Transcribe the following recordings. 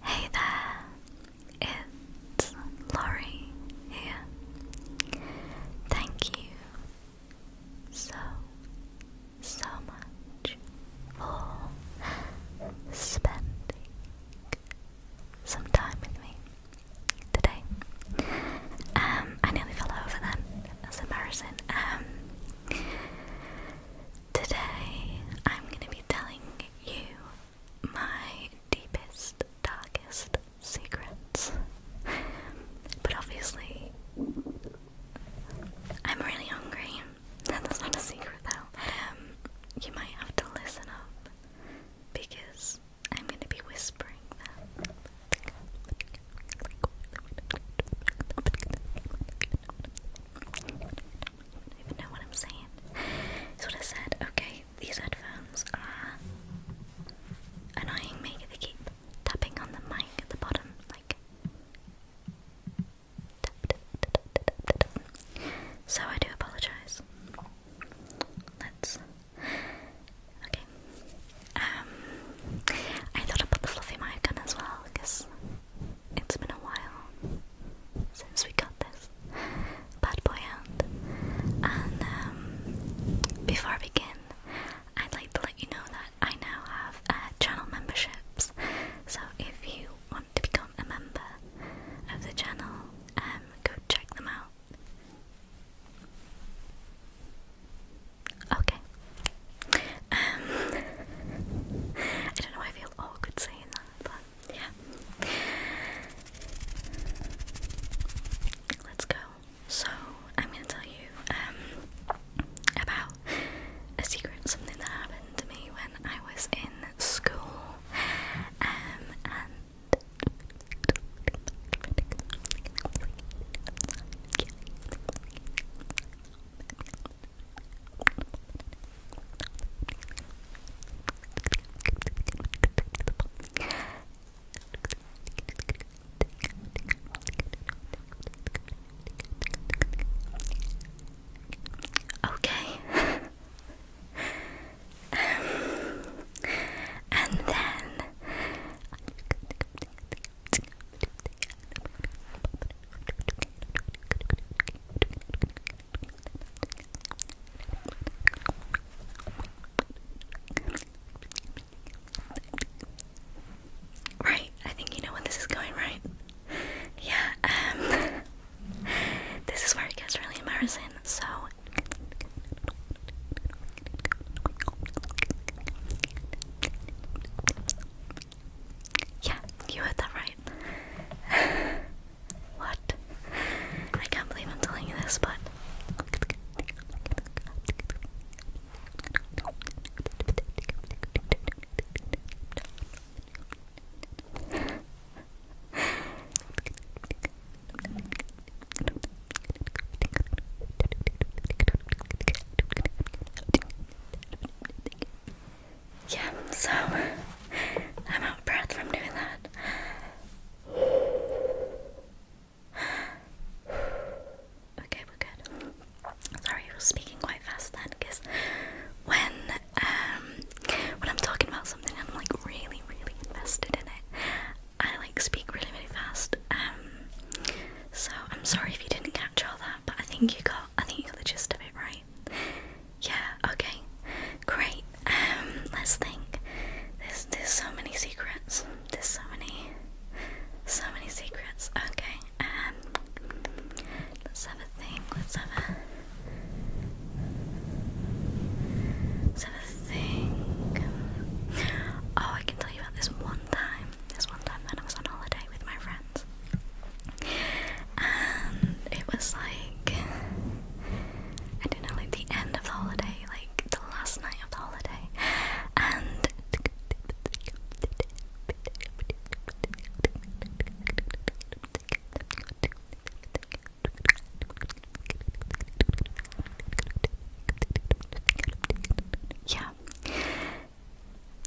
Hey there, it's Laurie here. Thank you so, so much for spending some time with me today. Um, I nearly fell over then, that's embarrassing. Um, Today, I'm going to be telling you my deepest, darkest secrets. But obviously, I'm really hungry. That's not a secret, though. Um, you might have to listen up because I'm going to be whispering don't even know what I'm saying. That's I said. Okay, these headphones are annoying me. They keep tapping on the mic at the bottom, like. So I do apologize. Let's. Okay. Um, I thought I put the fluffy mic on as well because it's been a while since we got this bad boy out. And um, before I begin, I'd like to let you know that I now have uh, channel memberships. So if you want to become a member of the channel, um, go check them out. Okay, um, I don't know I feel awkward saying that, but yeah. Let's go. So, I'm gonna tell you um, about a secret, something that happened to me when I was in school. Um, Okay. um, and then. Right, I think you know where this is going, right? Yeah, um, this is where it gets really embarrassing, so. Yeah, you heard that right. what? I can't believe I'm telling you this, but. Yeah, so I'm out of breath from doing that. Okay, we're good. Sorry, I was speaking quite fast then, because when um when I'm talking about something and I'm like really, really invested in it, I like speak really, really fast. Um, so I'm sorry if you didn't catch all that but I think you got I think you got the gist of it right. Yeah, okay. Great. Um let's think. There's there's so many secrets. There's so many so many secrets. Okay. Um let's have a think. Let's have a Let's have a think. Oh, I can tell you about this one time this one time when I was on holiday with my friends. And it was like I don't know, like the end of the holiday, like the last night of the holiday. And yeah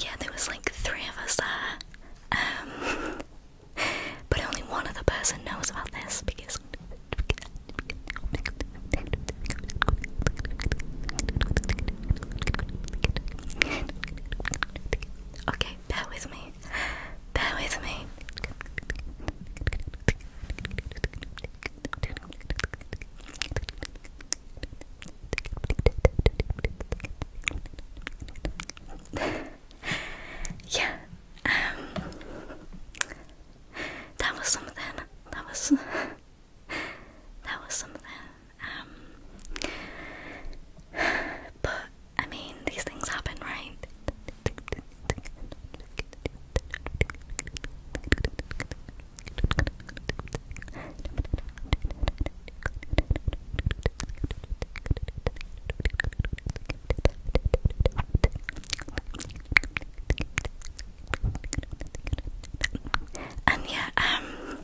yeah, there was like three of us there. Um, but only one other person knows about this because. Okay, bear with me. Bear with me yeah, um, that was something. That was that was something. Um, but I mean, these things happen, right? And yeah, um,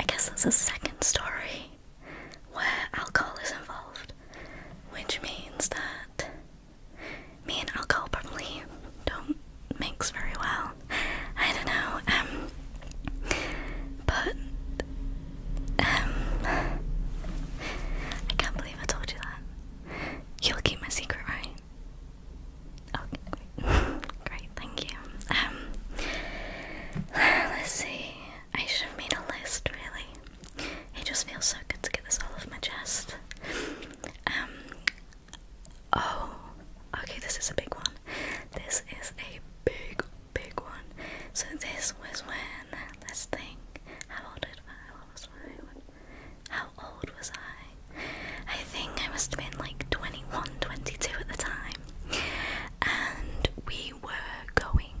I guess that's a second story where alcohol is involved, which means that me and alcohol probably don't mix very well. I don't know. Um, but um, I can't believe I told you that. You'll keep my secret, right? Okay, great, thank you. Um, let's see. I should have a list, really. It just feels so good to get this all off my chest. Um, Oh, okay, this is a big one. This is a big, big one. So this was when, let's think, how old was I? How old was I? I think I must have been like 21, 22 at the time. And we were going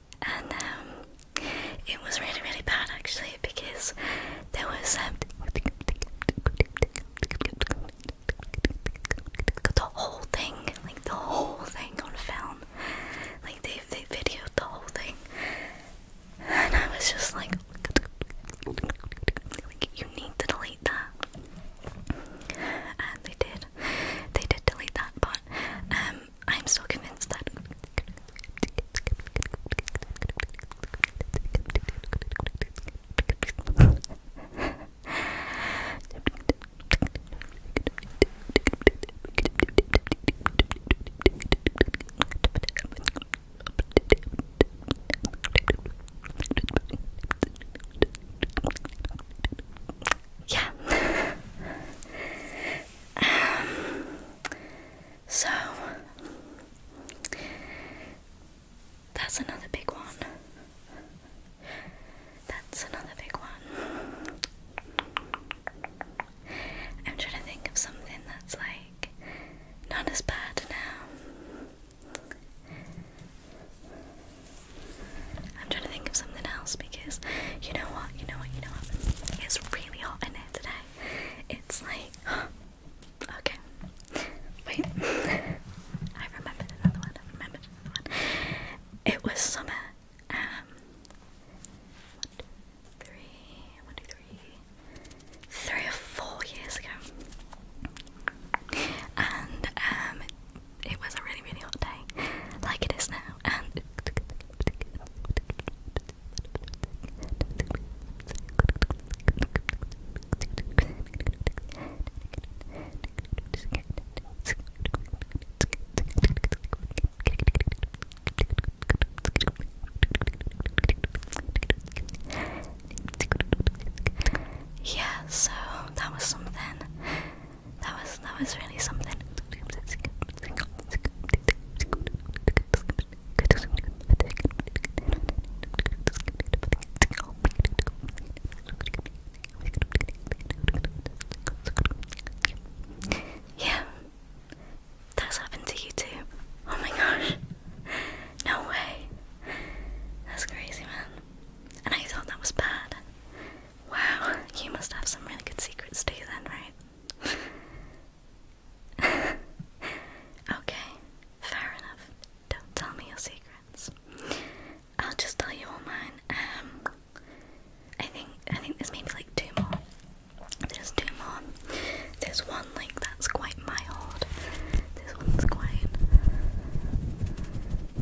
and um, it was really really bad actually because there was um, the whole thing, like the whole thing on film, like they they videoed the whole thing, and I was just like, like you need to delete that, and they did, they did delete that, but um, I'm so convinced that yeah. Um, so that's another big one. That's another big one. I'm trying to think of something that's like not as bad now. I'm trying to think of something because you know what, you know what, you know what? It's really hot in here today. It's like okay. Wait. I remembered another one, I remembered another one. It was summer. Um one, two, three, one, two, three, three or four years ago. And um it was a really, really hot day, like it is now yeah, so that was something. That was that was really something. Yeah, that's happened to you too. Oh my gosh, no way. That's crazy, man. And I thought that was bad. Wow, you must have some really good secrets too, then, right? okay, fair enough. Don't tell me your secrets. I'll just tell you all mine. Um, I think I think there's maybe like two more. There's two more. There's one like that's quite mild. This one's quite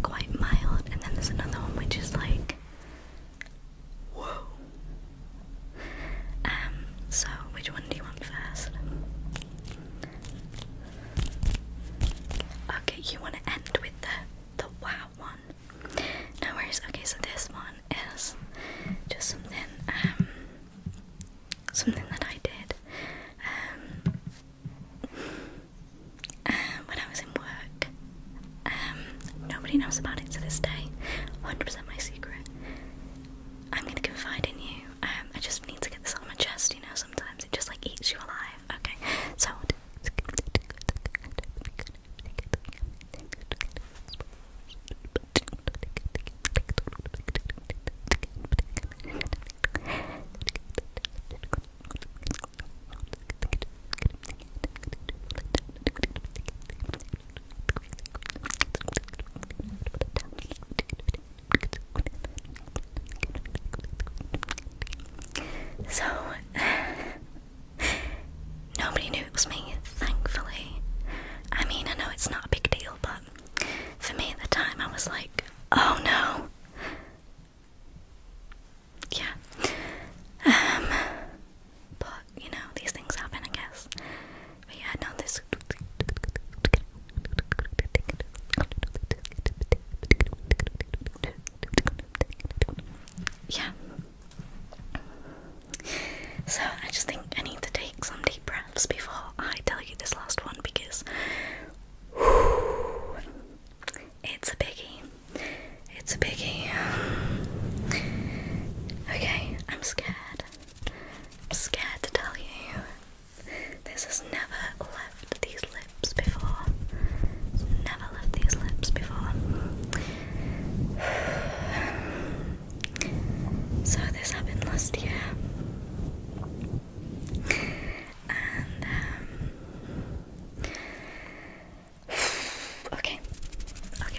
quite mild, and then there's another one which is like Whoa. Um, so which one do you want first? Okay, you want to end with the the wow one. No worries. Okay, so this one is just something um something that I did. Um um, when I was in work. Um, nobody knows about it to this day. 100% my secret. I'm gonna confide in you. Um, I just need to get this on my chest, you know, sometimes it just like eats you alive. Okay, so. So, nobody knew it was me, thankfully. I mean, I know it's not a big deal, but for me at the time, I was like, oh no, yeah. Um, but you know, these things happen, I guess. But yeah, no, this. Yeah. So I just think I need to take some deep breaths before I tell you this last one because it's a biggie. It's a biggie. Okay, I'm scared. I'm scared to tell you. This has never left these lips before. never left these lips before. So, this happened last year okay, okay,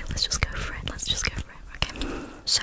let's just go for it. Let's just go for it. Okay, so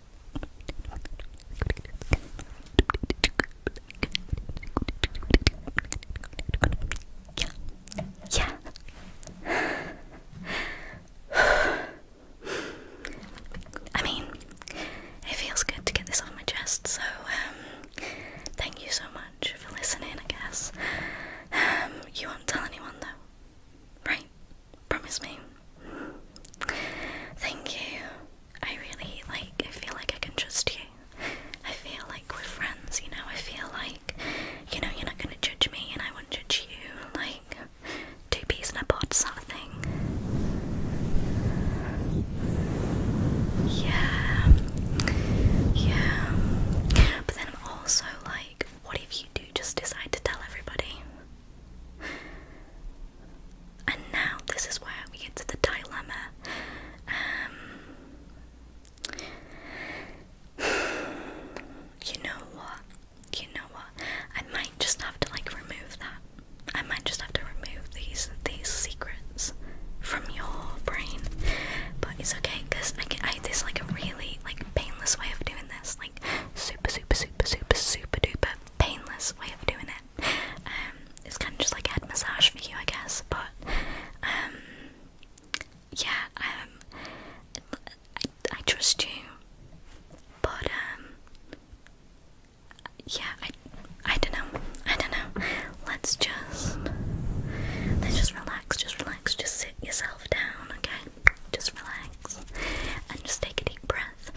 Yeah. I mean, it feels good to get this off my chest, so um thank you so much for listening, I guess. Um you won't tell anyone though. Right. Promise me. Thank you. I really like, I feel like I can trust you. I feel like we're friends, you know? I feel like, you know, you're not gonna judge me and I won't judge you. Like, two peas in a pod sort of thing. Yeah. Yeah. But then I'm also like, what if you do just decide to tell everybody? And now this is where we get to the dilemma. Um, you know what? You know what? I might just have to like remove that. I might just have to remove these these secrets from your brain. But it's okay because I, get I there's like a really like painless way of doing this. Like super, super, super, super, super duper painless way of doing it. Um, it's kind of just like a massage for you, I guess. But um, yeah, um, I, I trust you, but um, yeah, I, I don't know, I don't know. Let's just, let's just relax, just relax, just sit yourself down, okay? Just relax and just take a deep breath.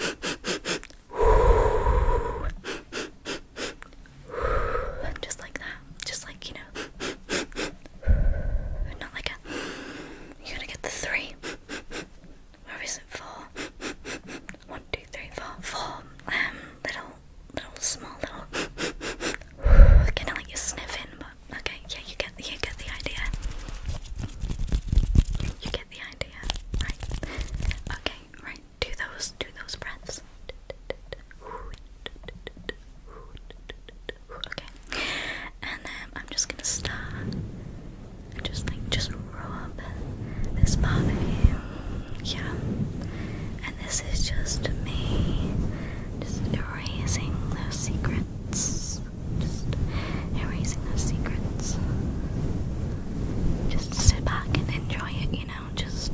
just like that. Just like, you know. Not like a. You gotta get the three. Where is it? Four. One, two, three, four. Four. Um, little, little, small, little. kind like you sniffing, Okay, yeah, you get the you get the idea. You, get the idea, right? Okay, right. Do those do those breaths. Okay, and then I'm just gonna start. Just like just rub this part of you, yeah. And this is just me, just erasing those secrets secrets. Just erasing those secrets. Just sit back and enjoy it, you know, just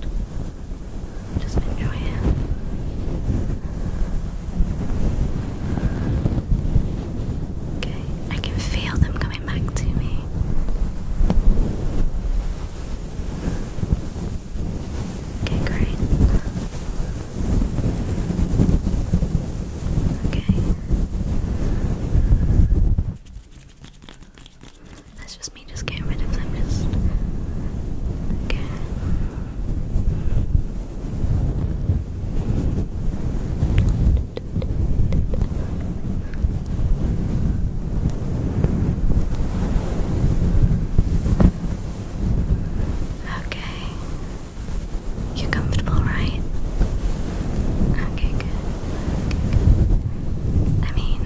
just enjoy it. Okay, I can feel them coming back to me. Okay, great. Okay. That's just me just getting rid of them, just. Okay. Okay. You're comfortable, right? Okay, good. I mean,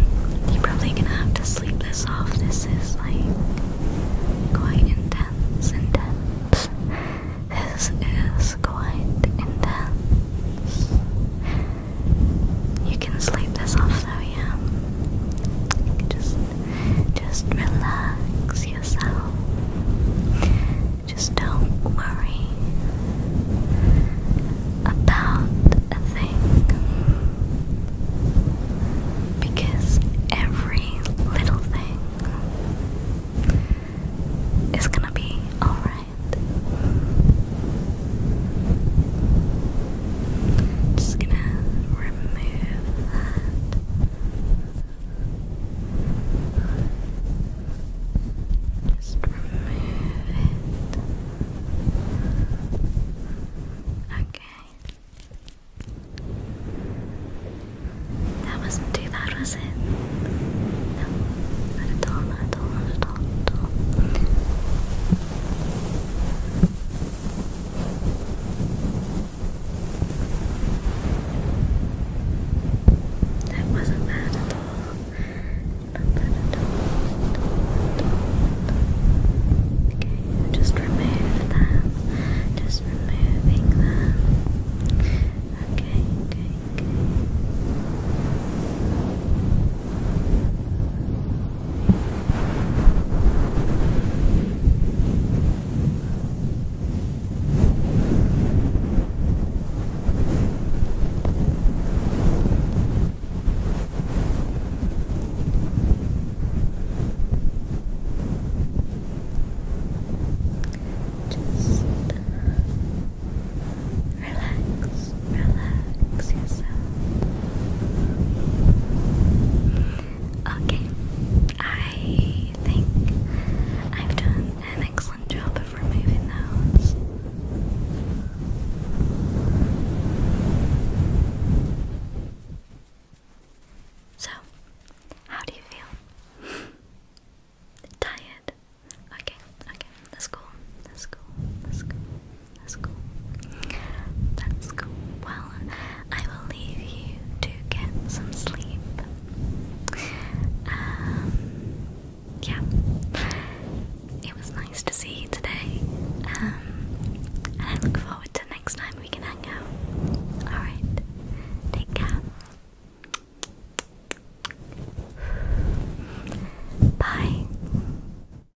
you're probably gonna have to sleep this off. This is like quite intense, intense. This is quite intense. You can sleep this off though, yeah. just just relax yourself. Just don't worry about a thing because every little thing is gonna be alright just gonna remove that. Just remove it. Okay. That wasn't too bad, was it? No, not at all, not at that wasn't bad at all. Not bad at all. Okay, just remove them. Just removing them. Okay, okay, okay. Just uh, relax, relax yourself. Okay, I think I've done an excellent job of removing those. So, how do you feel? Tired? Okay, okay, that's cool, that's cool, that's cool. That's cool. That's cool. Well, I will leave you to get some sleep. Um, yeah. It was nice to see you today. Um, and I look forward to next time we can hang out. Alright. Take care. Bye.